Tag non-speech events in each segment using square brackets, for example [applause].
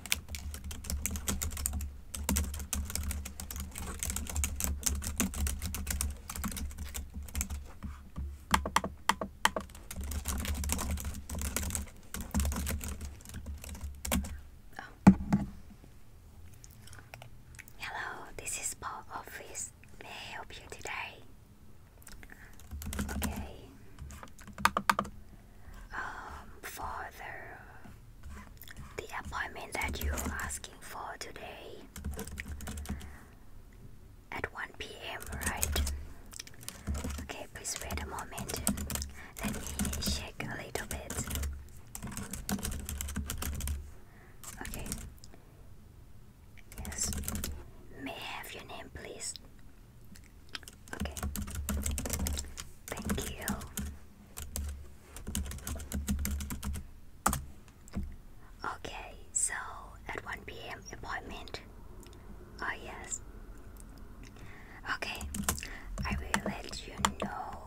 Oh. Hello, this is Paul Office. May I help you today? Okay. Um, for the, the appointment that you're asking for today at 1 p.m. right? Okay, please wait a moment. Let me check a little bit. Okay. Yes. May I have your name, please? Okay. Thank you. Okay, so at 1 p.m. appointment. Oh, yes. Okay, I will let you know.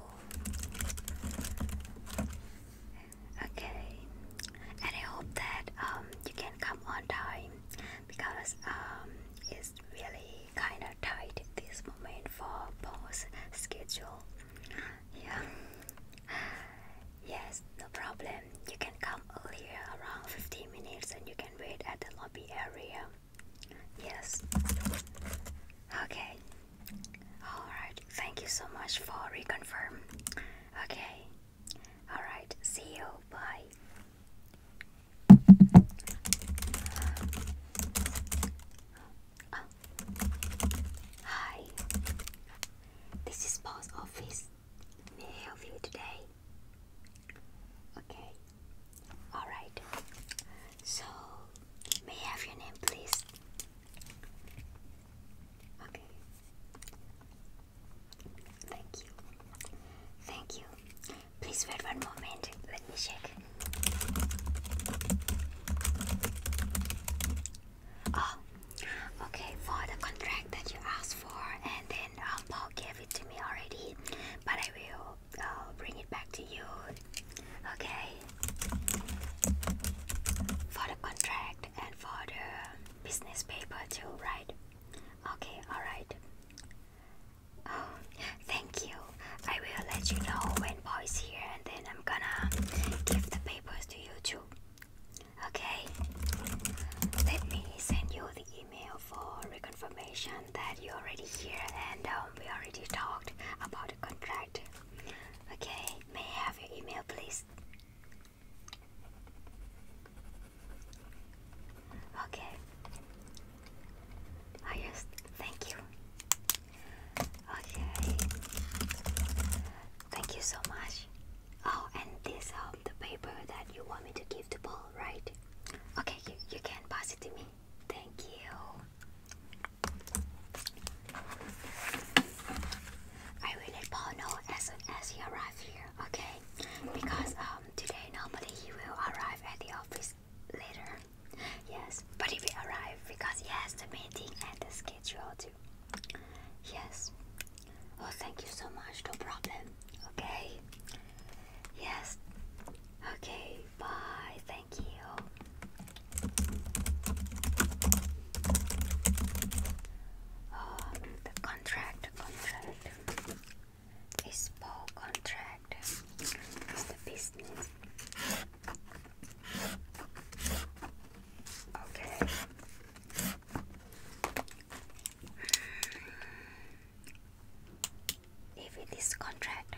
Okay, and I hope that um, you can come on time because um, it's really kinda tight this moment for both schedule. Yeah. Yes, no problem. You can come earlier around 15 minutes and you can wait at the lobby area. Yes. Okay. Alright, thank you so much for reconfirm. Okay. Alright, see you. Bye hi, this is Paul's office. May I help you today? Okay, alright. So, may I have your name, please? Okay. Thank you. Thank you. Please wait one moment. Let me check. Oh, okay. For the contract that you asked for, and then um, Paul gave it to me already, but I will uh, bring it back to you. Okay. For the contract and for the business paper too, right? Okay, alright. Oh, thank you. I will let you know when Paul here and then I'm gonna give the papers to you too. Okay? Let me send you the email for reconfirmation that you're already here and um, we already talked about the contract. Okay, may I have your email please? Okay. I just thank you. Okay. Thank you so much. Oh, and this um the paper that you want me to give to Paul, right? Okay, you, you can pass it to me. Thank you. I will let Paul know as as he arrives here, okay? Because uh, um, today normally he will arrive at the office later. Yes, but he will because he has the meeting and the schedule too. Yes. Oh, thank you so much. No problem. Okay. Yes. Okay. Bye. Thank you. Oh, the contract. contract. Bespoke contract is the business. Okay. If hmm. it is contract,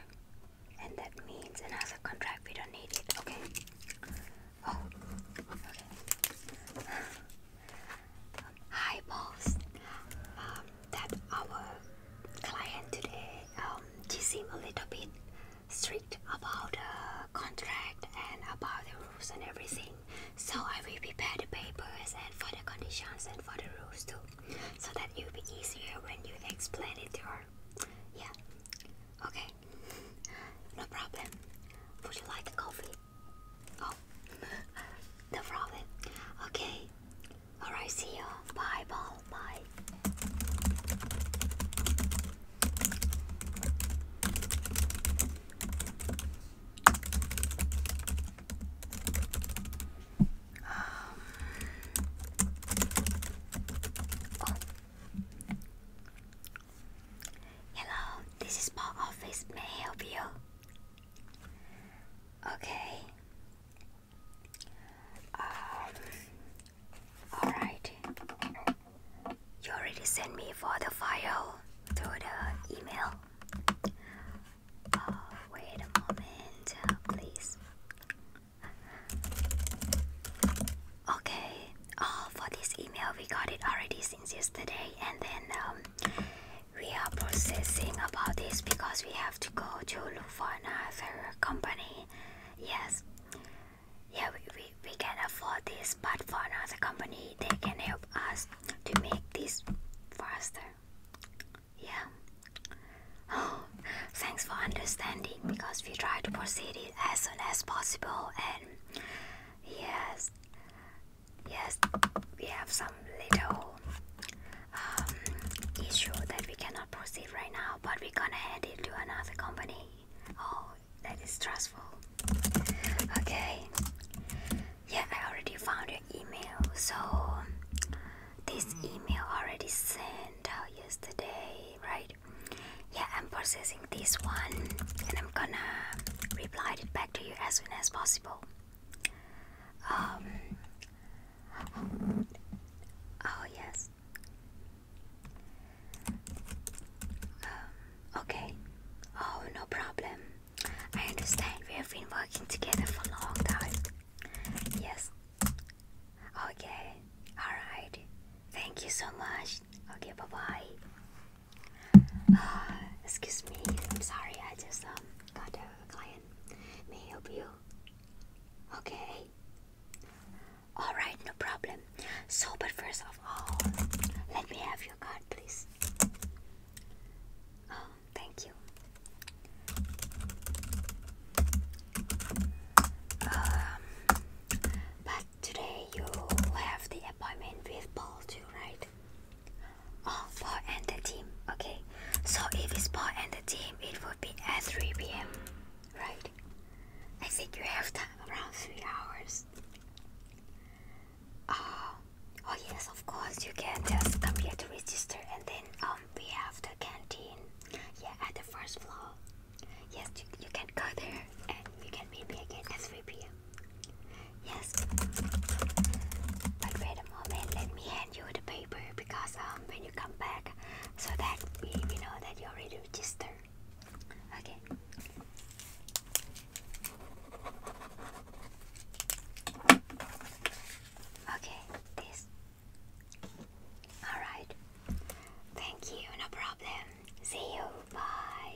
and that means another contract, we don't need it. Okay. Oh. Okay high balls um, that our client today um, she seemed a little bit strict about the contract and about the rules and everything so I will prepare the papers and for the conditions and for the rules too so that it will be easier when you explain it to her yeah okay no problem would you like a coffee Oh, [laughs] no problem. Okay. Alright, see you. Bye, Paul. Bye. Um, oh. Hello, this is Paul office. May I help you? Okay. Um, Alright. You already sent me for the file through the email. Uh, wait a moment, please. Okay. Oh, for this email, we got it already since yesterday, and then um, we are processing about this because we have to go to look for another company. Yes, yeah, we, we, we can afford this, but for another company, they can help us to make this faster. Yeah. Oh, [gasps] thanks for understanding because we try to proceed it as soon as possible and yes yes we have some little um, issue that we cannot proceed right now but we're gonna head it to another company oh that is stressful okay yeah i already found your email so this email already sent out yesterday right yeah i'm processing this one and i'm gonna reply it back to you as soon as possible. Um, oh, yes. Um, okay. Oh, no problem. I understand we have been working together for a long time. Yes. Okay. Alright. Thank you so much. Okay, bye bye. [sighs] excuse me, I'm sorry, I just um, got a client. May I help you? Okay. Alright, no problem. So, but first of all, let me have your card, please. Oh, thank you. Um, but today you have the appointment with Paul too, right? Oh, Paul and the team. Okay, so if it's Paul and the team, it would be at 3 p.m. Right? I think you have time around 3 hours. Uh, oh, yes, of course, you can just come here to register and then um, we have the canteen. Yeah, at the first floor. Yes, you, you can go there and you can meet me again at 3 p.m. Yes. But wait a moment, let me hand you the paper because um when you come back so that we, we know that you already registered. Okay. Okay, this. Alright. Thank you, no problem. See you. Bye.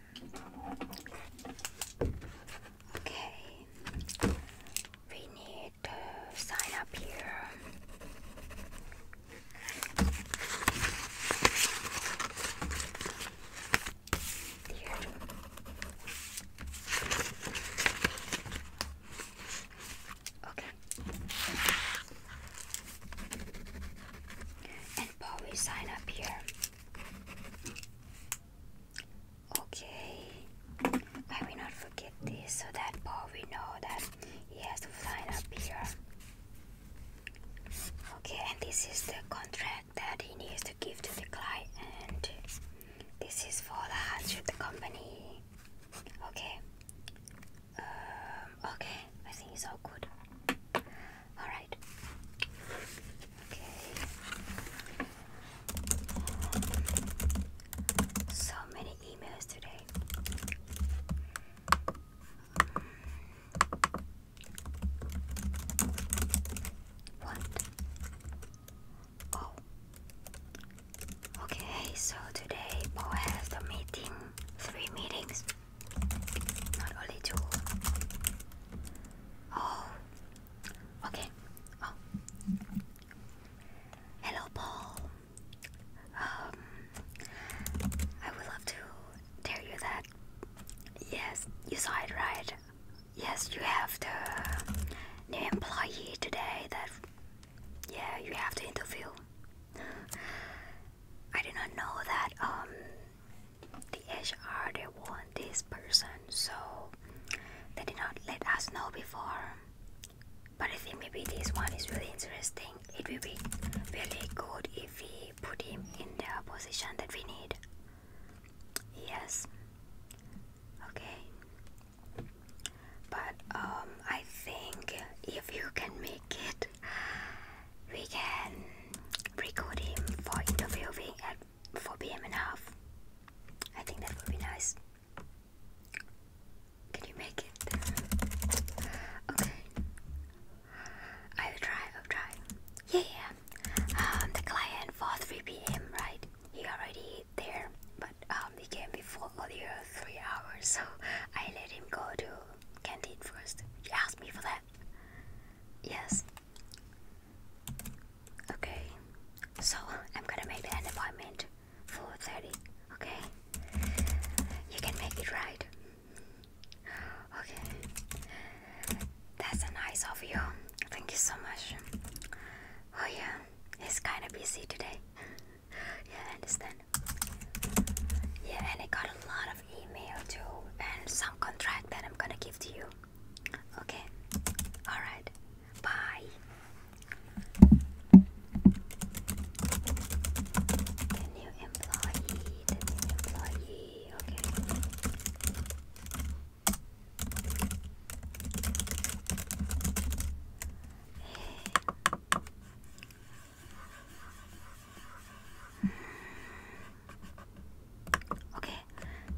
Okay, we need to sign up here. Okay. And Paul, sign up here. Okay, I will not forget this so that Paul know that he has to sign up here. Okay, and this is the contract that he needs to give to the client, this is for the hardship the company. Okay, um, okay, I think it's all good. Alright. Okay. So many emails today. What? Oh. Okay, so today Paul has the meeting, three meetings. Not only two. Oh. Okay. Oh. Hello, Paul. Um, I would love to tell you that. Yes, you saw it right. Yes, you have the new employee today. That yeah, you have to interview. I did not know that um the HR they want this person, so they did not let us know before. But I think maybe this one is really interesting. It will be really good if we put him in the position that we need. Yes. Okay. But um, I think if you can make it we can record him for interviewing at 4 pm and a half. I think that would be nice. Can you make it? Okay. I will try, I'll try. Yeah, yeah. Um, the client for 3 pm, right? He already there, but um, he came before earlier 3 hours, so I let him go to canteen first. You asked me for that. Yes. Okay. So I'm gonna make an appointment for 30. Okay. You can make it right. Okay. That's nice of you. Thank you so much. Oh yeah, he's kinda busy today. [laughs] yeah, I understand. Yeah, and I got a lot of email too and some contract that I'm gonna give to you. Okay, alright, bye. new employee, new employee, okay. Okay,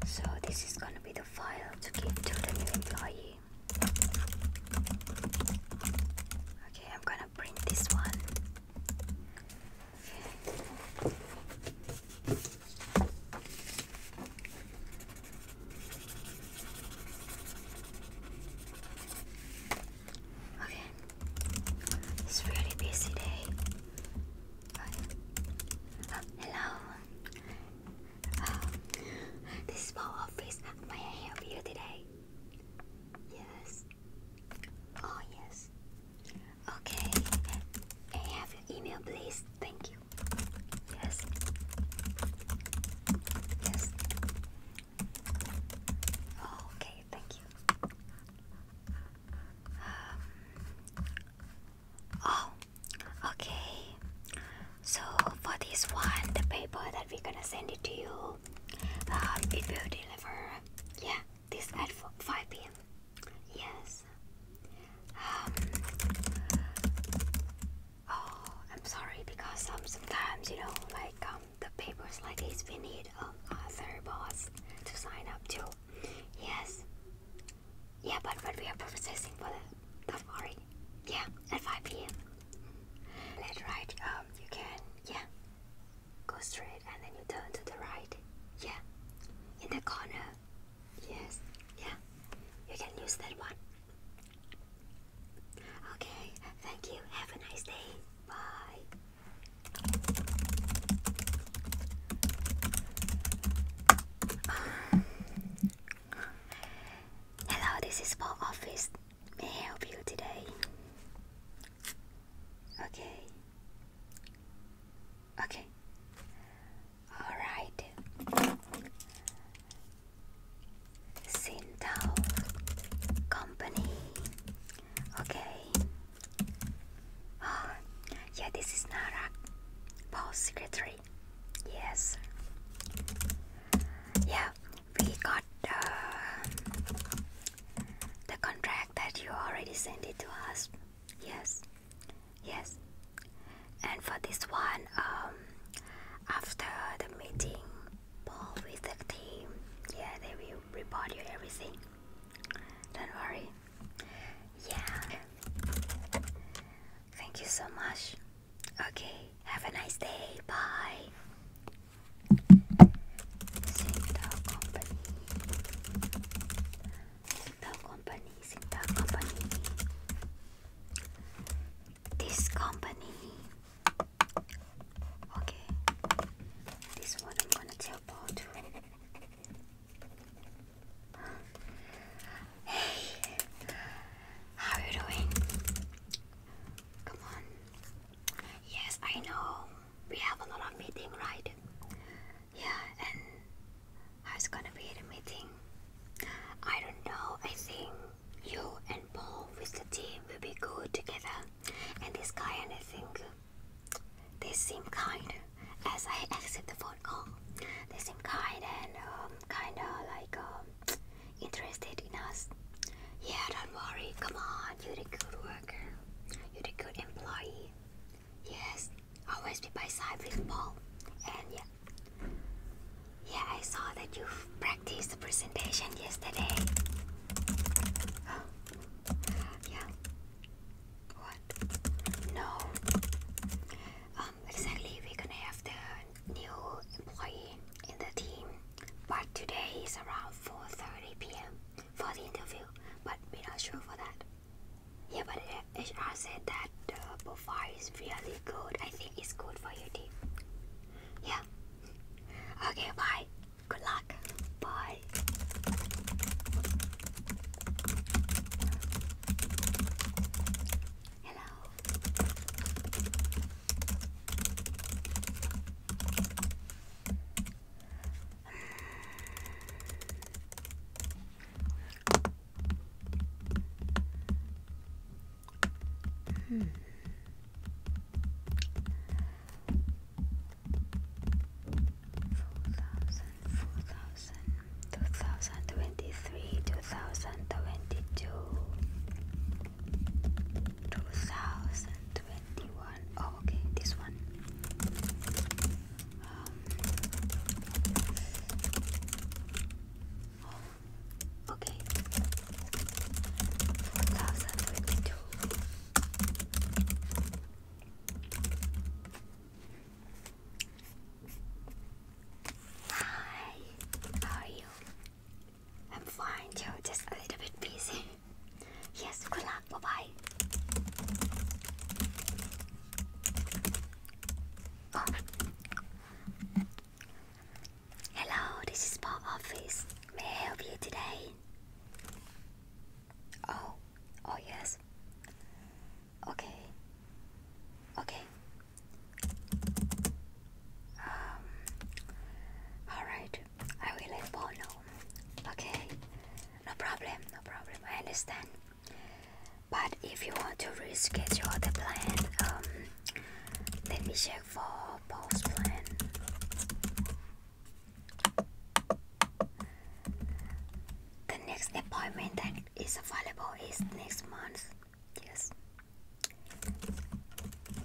so this is gonna be the file to give to the new employee. Okay, I'm gonna print this one. Okay. It's a really busy day. hello. Um, this is my office. May I help you today? Yes. Oh yes. Okay. I have your email, please? Thank you. Yes. Yes. Oh, okay, thank you. Um, oh, okay. So for this one, the paper that we're gonna send it to you, um, it will deliver. Yeah, this at five p.m. Yes. Um. Oh, I'm sorry because um, sometimes you know like um the papers like this we need a third boss to sign up to. Yes. Yeah, but but we are processing for the tough already. Yeah, at 5 p.m. Left, right. Um, you can yeah, go straight and then you turn to the right. Yeah, in the corner. Yes. Yeah, you can use that one. Okay. Thank you. Have a nice day. Bye. Hello, this is for office. May I help you today? Okay. Okay. All right. Sintao Company Okay. Oh, [gasps] yeah, this is Nara, Paul's secretary. Yes. Yeah, we got uh, the contract that you already sent it to us. Yes. Yes. And for this one, um, after the meeting, Paul with the team. Yeah, they will report you everything. Don't worry. Yeah. Thank you so much. Okay, have a nice day. Bye. Singtel Company. Singtel Company. Singtel Company. This company. Okay, this one I'm gonna tell Paul to. Hey, how are you doing? Come on. Yes, I know we have a lot of meeting, right? Yeah, and how's gonna be the meeting? I don't know. I think you and Paul with the team will be good together and this guy and I think they seem kind as I accept the phone call. They seem kind and um, kind of like um, interested in us. Yeah, don't worry. Come on, you're a good worker. You're a good employee. Yes, always be by side with Paul. And yeah, yeah, I saw that you practiced the presentation yesterday. [gasps] yeah. What? No. Um, exactly, we're gonna have the new employee in the team, but today is around 4.30 p.m. for the interview, but we're not sure for that. Yeah, but HR said that the profile is really good. I think it's good for your team. Yeah, Okay, bye. Good luck. Bye. Hello. Hmm. Four thousand, four thousand, two thousand twenty-three, two thousand twenty-two, two thousand twenty-one. Oh, okay, this one. Um, Okay. Hi, how are you? I'm fine, Joe, just a little bit busy. [laughs] yes, good luck, bye bye. Oh. Hello, this is my office. May I help you today? Oh, oh yes. Okay. Okay. Um. All right. I will let Paul know. Okay. No problem. No problem. I understand. But if you want to reschedule the plan, um, let me check for Paul's plan. The next appointment that is available is next month. Yes.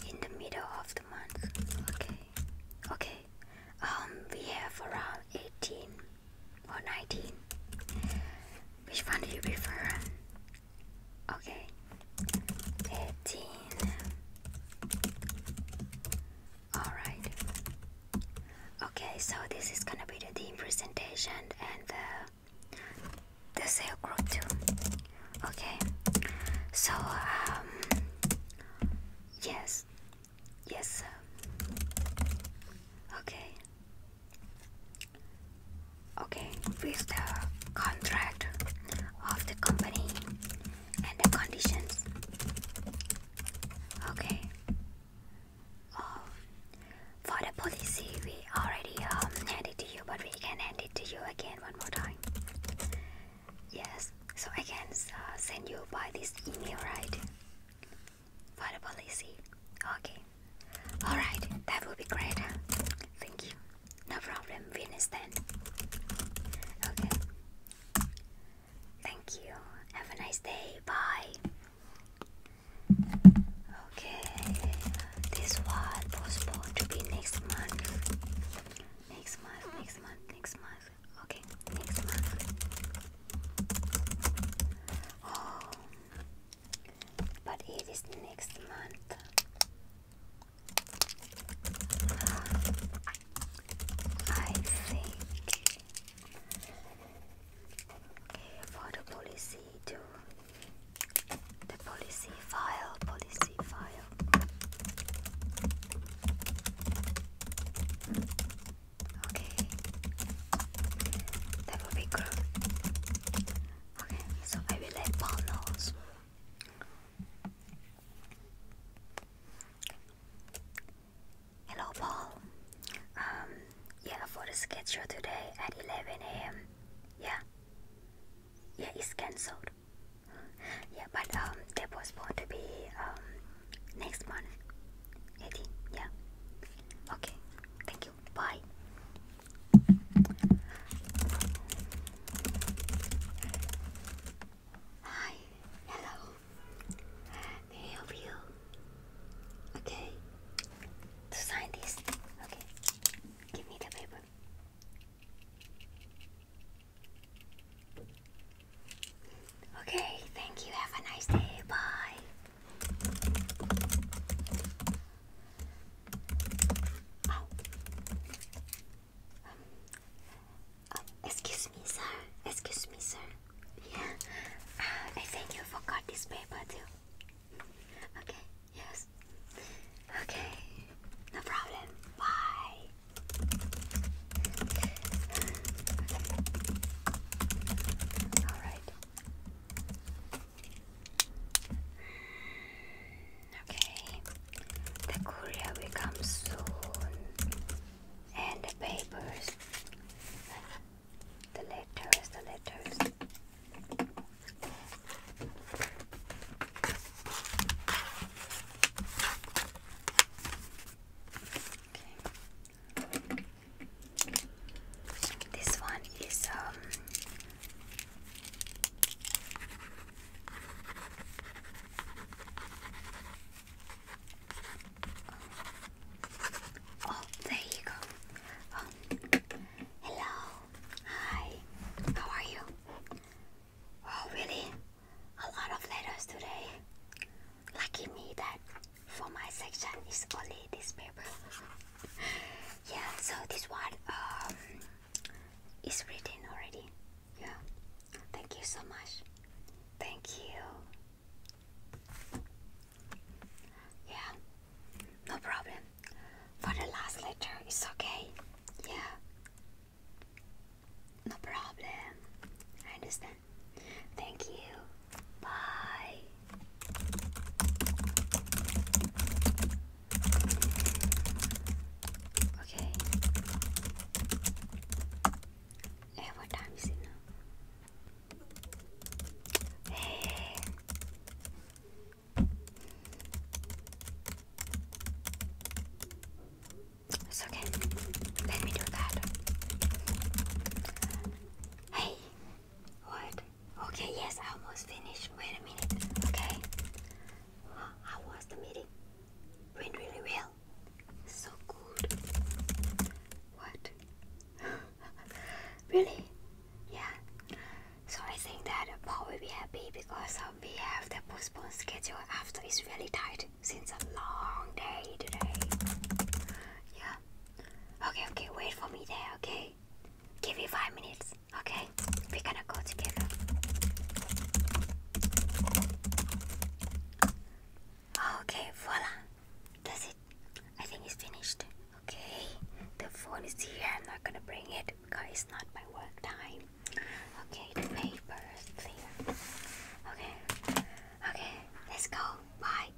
In the middle of the month. Okay. Okay. Um we have around 18 or 19. Which one do you prefer? Okay. Fifteen. Alright. Okay, so this is gonna be the team presentation and the the sale group too. Okay. So um yes. Yes. Okay. Okay, with the contract of the company and the conditions. Okay. Um, for the policy, we already um, handed to you, but we can hand it to you again one more time. Yes, so I can uh, send you by this email, right? For the policy. Okay. Alright, that will be great. Thank you. No problem, we understand. Okay. Thank you. Have a nice day. Bye. Okay. This was postponed to be next month. Next month, next month, next month. Okay, next month. Oh. But it is next month. I think for the policy to the policy file, policy file. Okay, that will be good. Okay, so I will let Paul know. Hello, Paul. Um, yeah, for the sketch show today at 11 a.m. Yeah. Yeah, it's cancelled. Yeah, but um, there was supposed to be um next month. 18. Yeah. Okay. Thank you. Bye. Hi, hello. I help you? Okay. To sign this. Okay. Give me the paper. Okay, thank you. Have a nice day. Bye. Oh. Um, excuse me, sir. Excuse me, sir. Yeah. Uh, I think you forgot this paper too. Okay. Yes. Okay. No problem. Bye. All right. Okay, the courier will come soon, and the papers, the letters, the letters. Okay. This one is um Oh, there you go. Oh, hello. Hi. How are you? Oh, really? A lot of letters today. Lucky me that for my section is only this paper. [laughs] yeah so this one um, is written already yeah thank you so much thank you yeah no problem for the last letter it's okay yeah no problem I understand thank you bye Okay. Hey, what time is it now? Hey. It's okay. Let me do that. Hey. What? Okay, yes, I almost finished. Wait a minute. Okay. how was the meeting? Went really well. So good. What? [laughs] really? Yeah. So I think that Paul will be happy because um, we have the postponed schedule after it's really tight since a long day today. Yeah. Okay, okay, wait for me there, okay? Give me five minutes, okay? We're gonna go together. Okay, voila. That's it. I think it's finished. Okay, the phone is here. I'm not gonna bring it because it's not my work time. Okay, the paper is clear. Okay, okay, let's go. Bye.